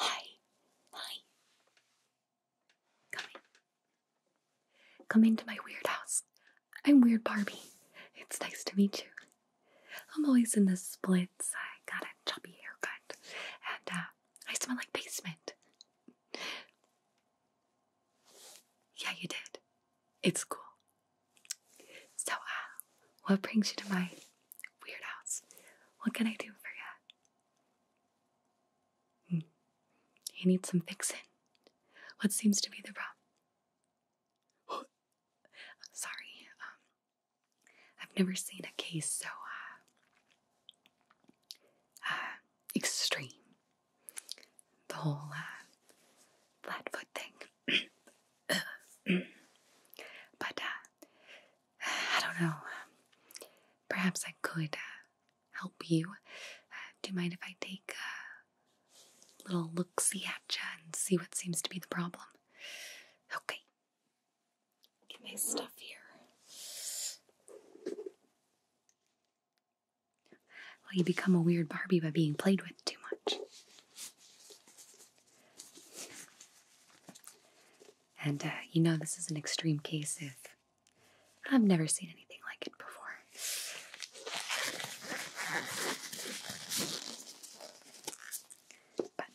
Hi, hi. Come in. Come into my weird house. I'm Weird Barbie. It's nice to meet you. I'm always in the splits. I got a choppy haircut, and uh, I smell like basement. yeah, you did. It's cool. So, uh, what brings you to my weird house? What can I do for you? Hmm. You need some fixing. What seems to be the problem? Sorry, um, I've never seen a case so uh, uh, extreme. The whole uh, flatfoot thing. but uh, I don't know. perhaps I could uh, help you. Uh, do you mind if I take a little look see at you and see what seems to be the problem? Okay. Get my stuff here. Well, you become a weird Barbie by being played with too much. And uh, you know, this is an extreme case if I've never seen anything like it before. But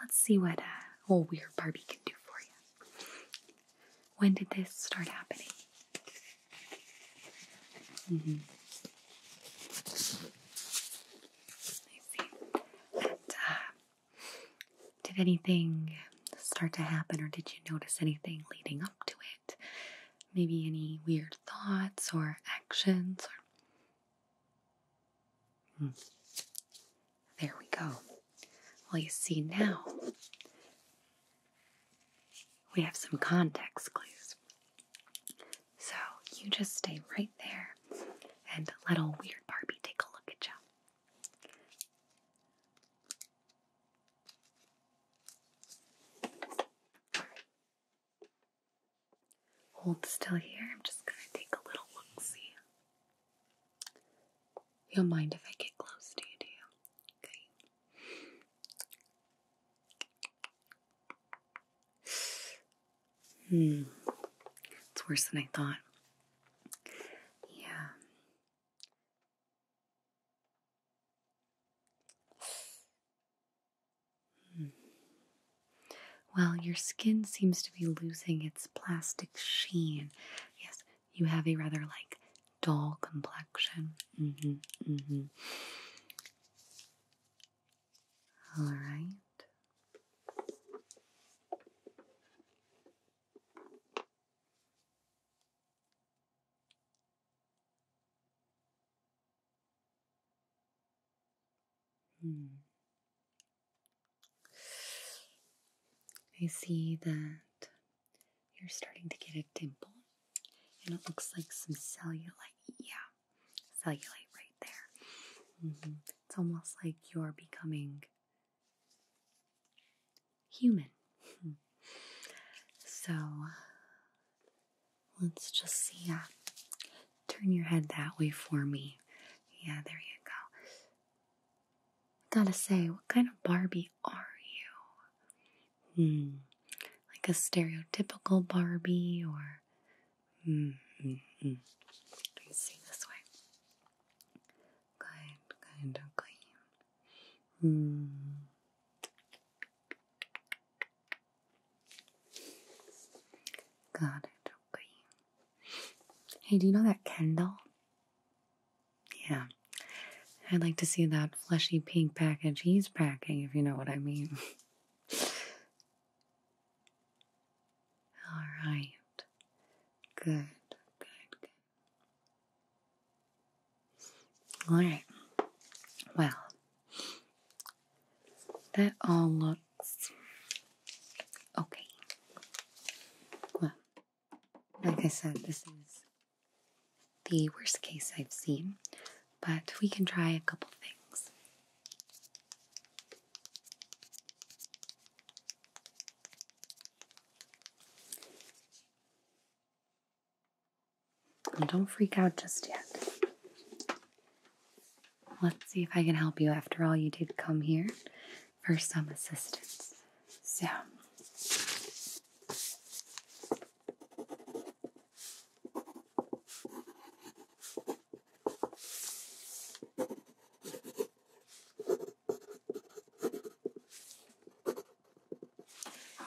let's see what a uh, old weird Barbie can do for you. When did this start happening? Mm-hmm. Uh, did anything start to happen, or did you notice anything leading up to it? Maybe any weird thoughts or actions? Or... Hmm. There we go. Well, you see now we have some context clues. So you just stay right there and let old weird Barbie take a look at you. Hold still here. I'm just going to take a little look see. You'll mind if I get close to you, do you? Hmm. It's worse than I thought. Yeah. Hmm. Well, your skin seems to be losing its plastic sheen. Yes, you have a rather like dull complexion. Mm-hmm. Mm-hmm. All right. Hmm. I see that you're starting to get a dimple, and it looks like some cellulite. Yeah, cellulite right there. Mm-hmm. It's almost like you're becoming human. so let's just see. Turn your head that way for me. Yeah, there you go. Gotta say, what kind of Barbie are you? Hmm, like a stereotypical Barbie or. Hmm, hmm, hmm. Let me see this way. Good, good, okay. Hmm. Got it, okay. Hey, do you know that Kendall? Yeah. I'd like to see that fleshy pink package he's packing, if you know what I mean. All right. Good, good, good. All right. Well, that all looks okay. Well, like I said, this is the worst case I've seen, but we can try a couple things. don't freak out just yet. Let's see if I can help you. After all, you did come here for some assistance. So,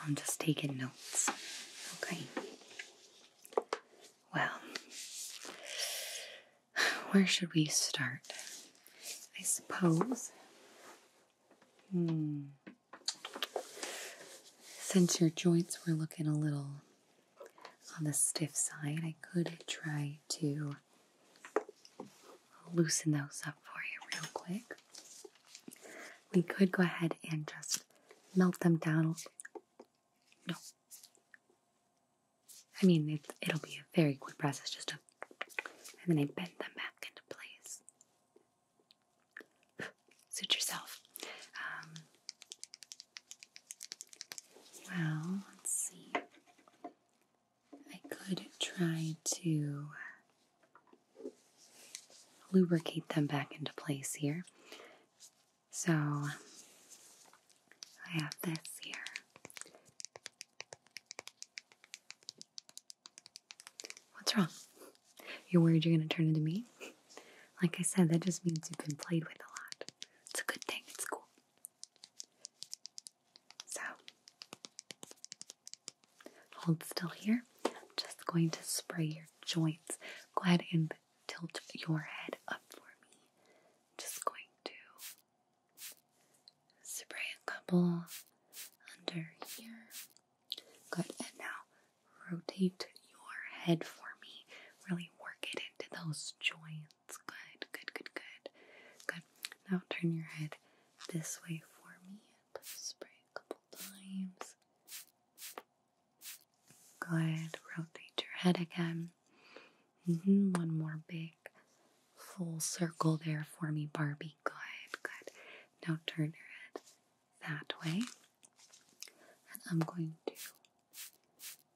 I'm just taking notes. Okay. Well, where should we start? I suppose Hmm. Since your joints were looking a little on the stiff side, I could try to loosen those up for you real quick. We could go ahead and just melt them down. No. I mean, it, it'll be a very quick process, just a and then I bend them back into place. Suit yourself. Um, well, let's see. I could try to lubricate them back into place here. So I have this here. What's wrong? You're worried you're going to turn into me? Like I said, that just means you've been played with a lot. It's a good thing, it's cool. So, hold still here. I'm just going to spray your joints. Go ahead and tilt your head up for me. just going to Spray a couple under here. Good. And now rotate your head for me. Really work it into those joints. Good, good, good, good. Good. Now turn your head this way for me. Spray a couple times. Good. Rotate your head again. Mm-hmm. One more big full circle there for me, Barbie. Good, good. Now turn your head that way. And I'm going to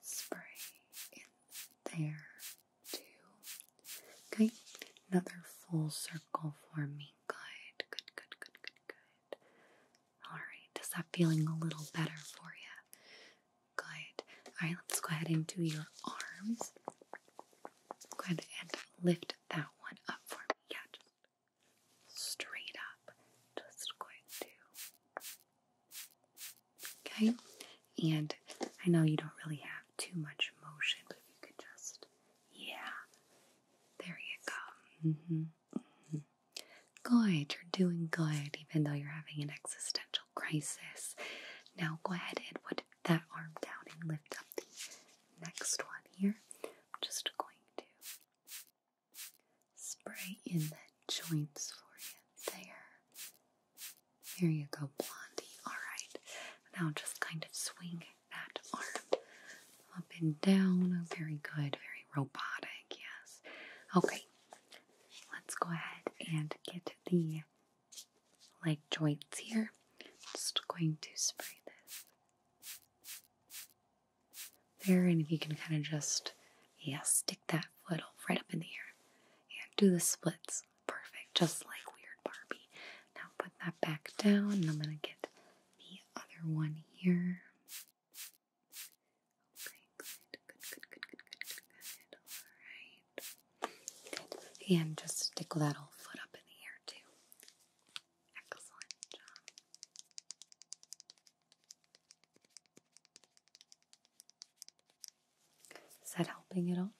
spray in there too. Okay, another full circle for me. Good, good, good, good, good, good. All right, does that feeling a little better for you? Good. All right, let's go ahead and do your arms. Go ahead and lift that one up for me. Yeah, just straight up. Just going to. Okay. And I know you don't really have too much motion, but if you could just, yeah, there you go. Mm-hmm. Mm-hmm. Good, you're doing good, even though you're having an existential crisis. Now go ahead and that arm down and lift up the next one here. I'm just going to spray in the joints for you there. There you go, Blondie. Alright, now just kind of swing that arm up and down. Oh, very good, very robotic, yes. Okay, let's go ahead and get the like joints here. Just going to spray this there, and if you can kind of just yeah stick that foot right up in the air and do the splits. Perfect, just like Weird Barbie. Now put that back down, and I'm gonna get the other one here. Okay, good, good, good, good, good, good, good. All right, good. and just stick that whole foot up in the air too. Excellent job. Is that helping at all?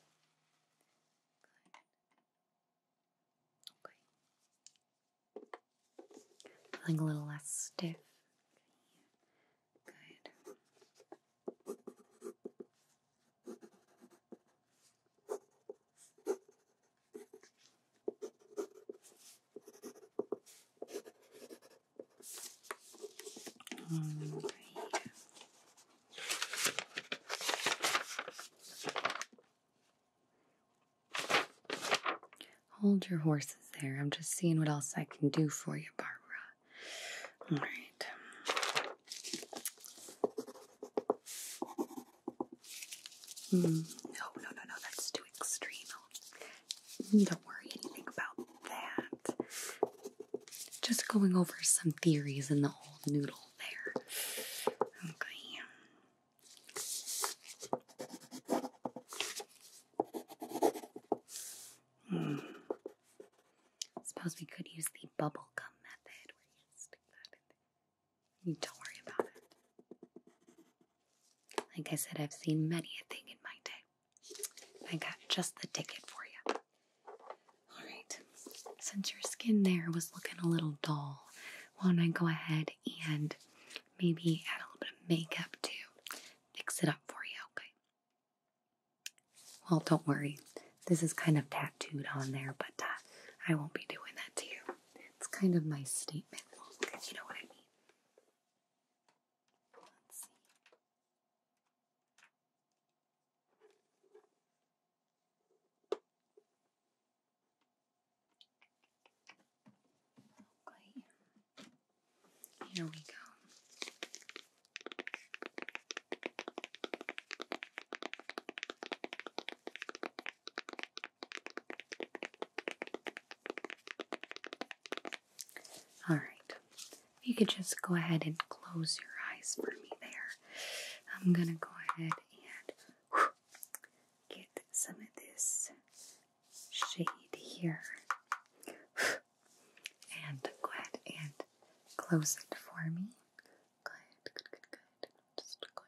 Okay. Feeling a little less stiff. Good. Hold your horses there. I'm just seeing what else I can do for you, Barbara. All right. Mm. No, no, no, no, that's too extreme. Don't worry anything about that. Just going over some theories in the old noodle there. Okay. Mm. Suppose we could use the bubble gum method where you stick that in there don't worry about it. Like I said, I've seen many a thing in my day. I got just the ticket for you. Alright, since your skin there was looking a little dull, why don't I go ahead and maybe add a little bit of makeup to fix it up for you, okay? Well, don't worry. This is kind of tattooed on there, but uh, I won't be doing that to you. It's kind of my statement look, you know what I mean. Let's see. Okay. Here we go. All right. you could just go ahead and close your eyes for me there. I'm going to go ahead and get some of this shade here. And go ahead and close it for me. Good, good, good, good. just going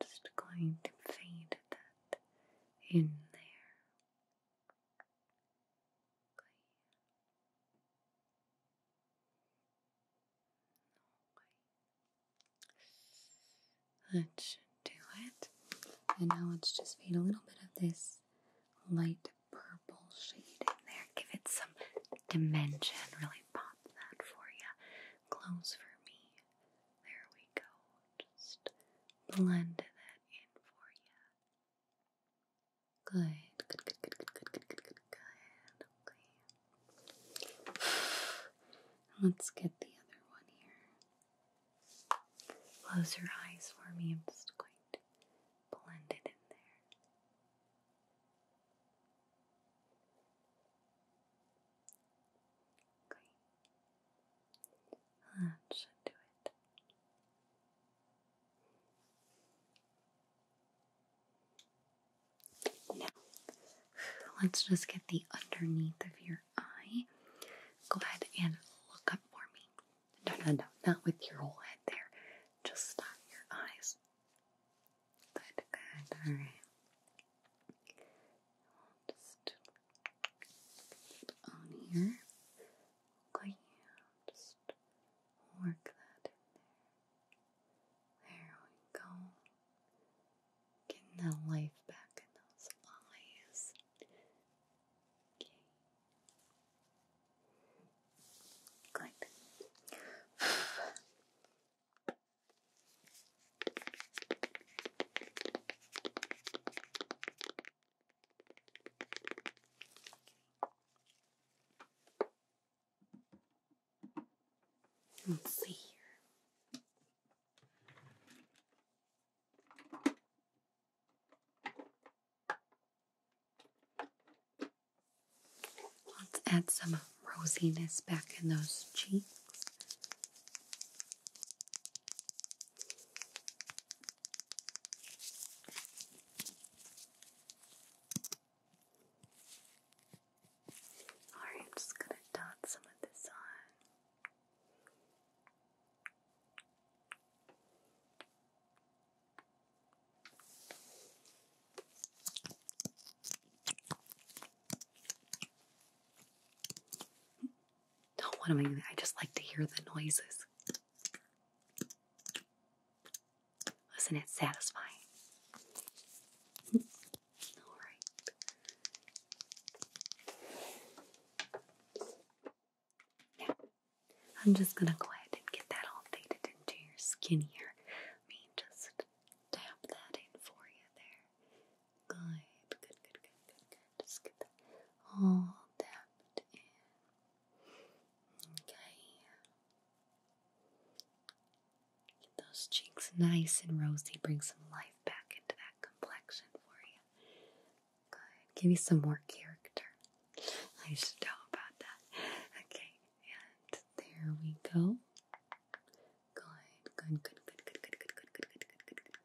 Just going to fade that in there. Okay. That should do it. And now let's just fade a little bit of this light purple shade in there. Give it some dimension. Really pop that for you. Close for me. There we go. Just blend that in for you. Good, good, good, good, good, good, good, good, good, good. Okay. Let's get the other one here. Close your eyes for me. I'm just going to blend it in there. Okay. That should do it. Now, let's just get the underneath of your eye. Go ahead and look up for me. No, no, no, not with your whole head there. Just stop your eyes. Good, good, alright just on here. just work that in there. There we go. Getting that life back in those eyes. Okay. Good. Let's see Let's add some rosiness back in those cheeks. Alright, I'm just going to dot some of this on. Don't want to. I just like to hear the noises. is not it satisfying? All right. Now, I'm just going to go ahead and get that all faded into your skin here. me just tap that in for you there. Good, good, good, good, good, good. Just get all tapped in. Okay. Get those cheeks nice and rosy. Bring some life back into that complexion for you. Good. Give me some more character. I should know about that. Okay, and there we go. Good, good, good, good, good, good, good, good, good, good, good, good, good,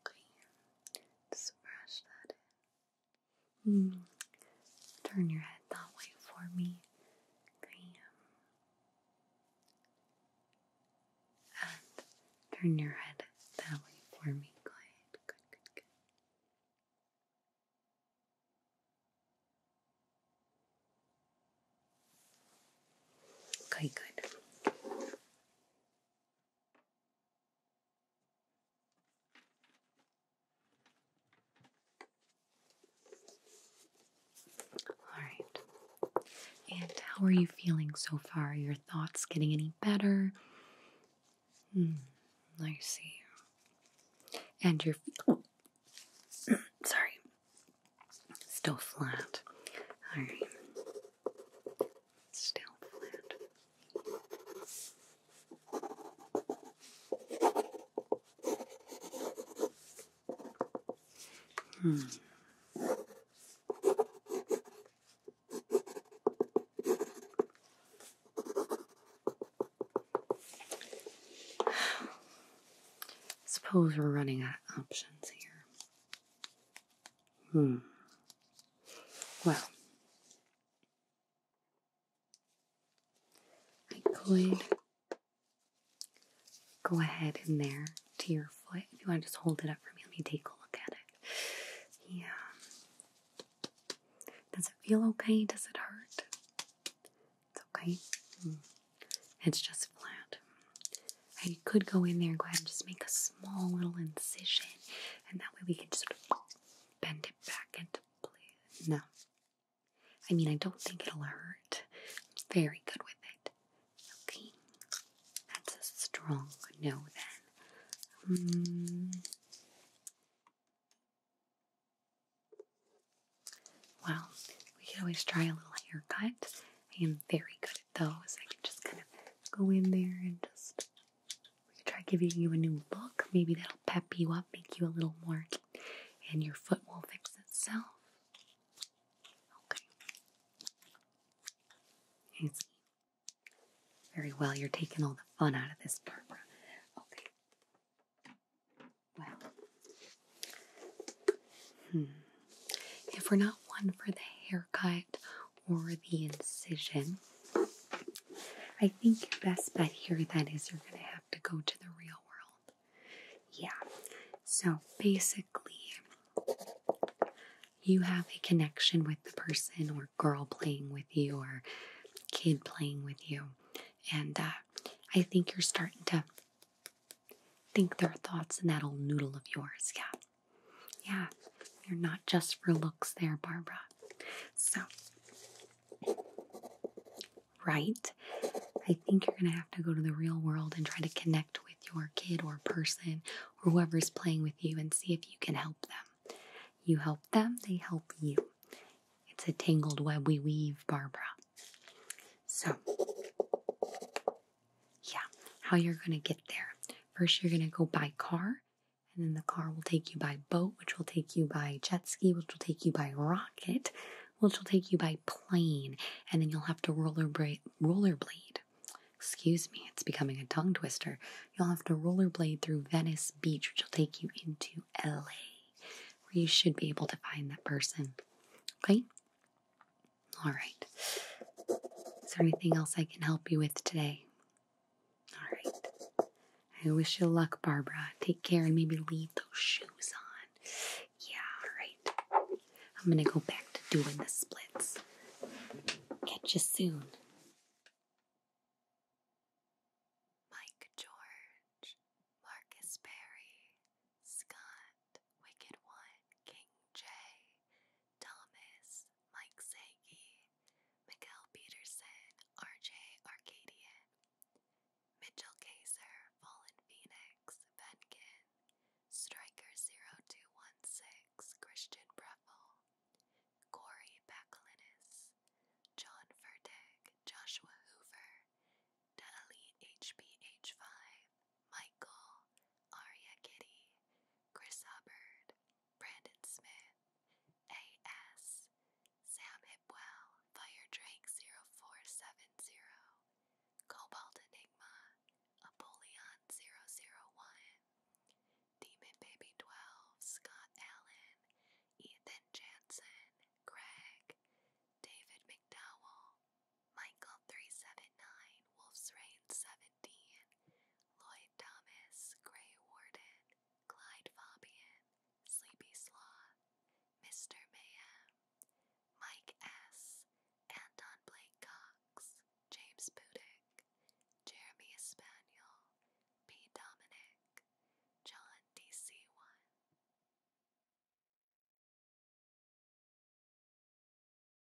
Okay, just brush that in. Hmm, turn your head that way for me. And turn your head that way for me. Good, good, good, good. Okay, good. All right. And how are you feeling so far? Are your thoughts getting any better? Hmm, I see. And you're. Oh, sorry. Still flat. Alright. Still flat. Hmm. Suppose we're running out of options here. Hmm. Well, I could go ahead in there to your foot. If you want to just hold it up for me, let me take a look at it. Yeah. Does it feel okay? Does it hurt? It's okay. Hmm. It's just flat. I could go in there and go ahead and just make a small little incision, and that way we can just sort of bend it back into place. No. I mean, I don't think it'll hurt. very good with it. Okay. That's a strong no then. Hmm. Well, we could always try a little haircut I am very good at those. I can just kind of go in there and just try giving you a new look. Maybe that'll pep you up, make you a little more, and your foot will fix itself. Okay. I Very well, you're taking all the fun out of this, Barbara. Okay. Well. Hmm. If we're not one for the haircut or the incision, I think your best bet here then is you're going to have to go to the real world. Yeah. So basically, you have a connection with the person or girl playing with you or kid playing with you. And uh, I think you're starting to think their thoughts in that old noodle of yours. Yeah. Yeah, you're not just for looks there, Barbara. So, right, I think you're going to have to go to the real world and try to connect with your kid or person or whoever's playing with you and see if you can help them. You help them, they help you. It's a tangled web we weave, Barbara. So, yeah, how you're going to get there. First, you're going to go by car, and then the car will take you by boat, which will take you by jet ski, which will take you by rocket, which will take you by plane, and then you'll have to rollerblade. Excuse me, it's becoming a tongue twister. You'll have to rollerblade through Venice Beach, which will take you into LA, where you should be able to find that person. Okay? All right. Is there anything else I can help you with today? All right. I wish you luck, Barbara. Take care and maybe leave those shoes on. Yeah, all right. I'm going to go back to doing the splits. Catch you soon. Mike George, Marcus Berry, Scott. Wicked One, King J, Thomas, Mike Sagi, Miguel Peterson, RJ Arcadian, Mitchell Kaiser, Fallen Phoenix, Venkin, Striker0216, Christian Breffel, Corey Bakalinis, John Furtig, Joshua Hoover, Delete HBH5, Michael, Aria Kitty, Chris Hubbard, Brandon Smith, A.S., Sam Hipwell, Fire Drake 0470, Cobalt Enigma, Apollyon 001, Demon Baby 12, Scott Allen, Ethan Jansen, Craig, David McDowell, Michael 379, Wolf's Reign 17, Lloyd Thomas, Gray Warden, Clyde Fabian, Sleepy Sloth, Mr. Mayhem, Mike S., Anton Blake Cox, James Pudick, Jeremy Spaniel, P. Dominic, John DC1.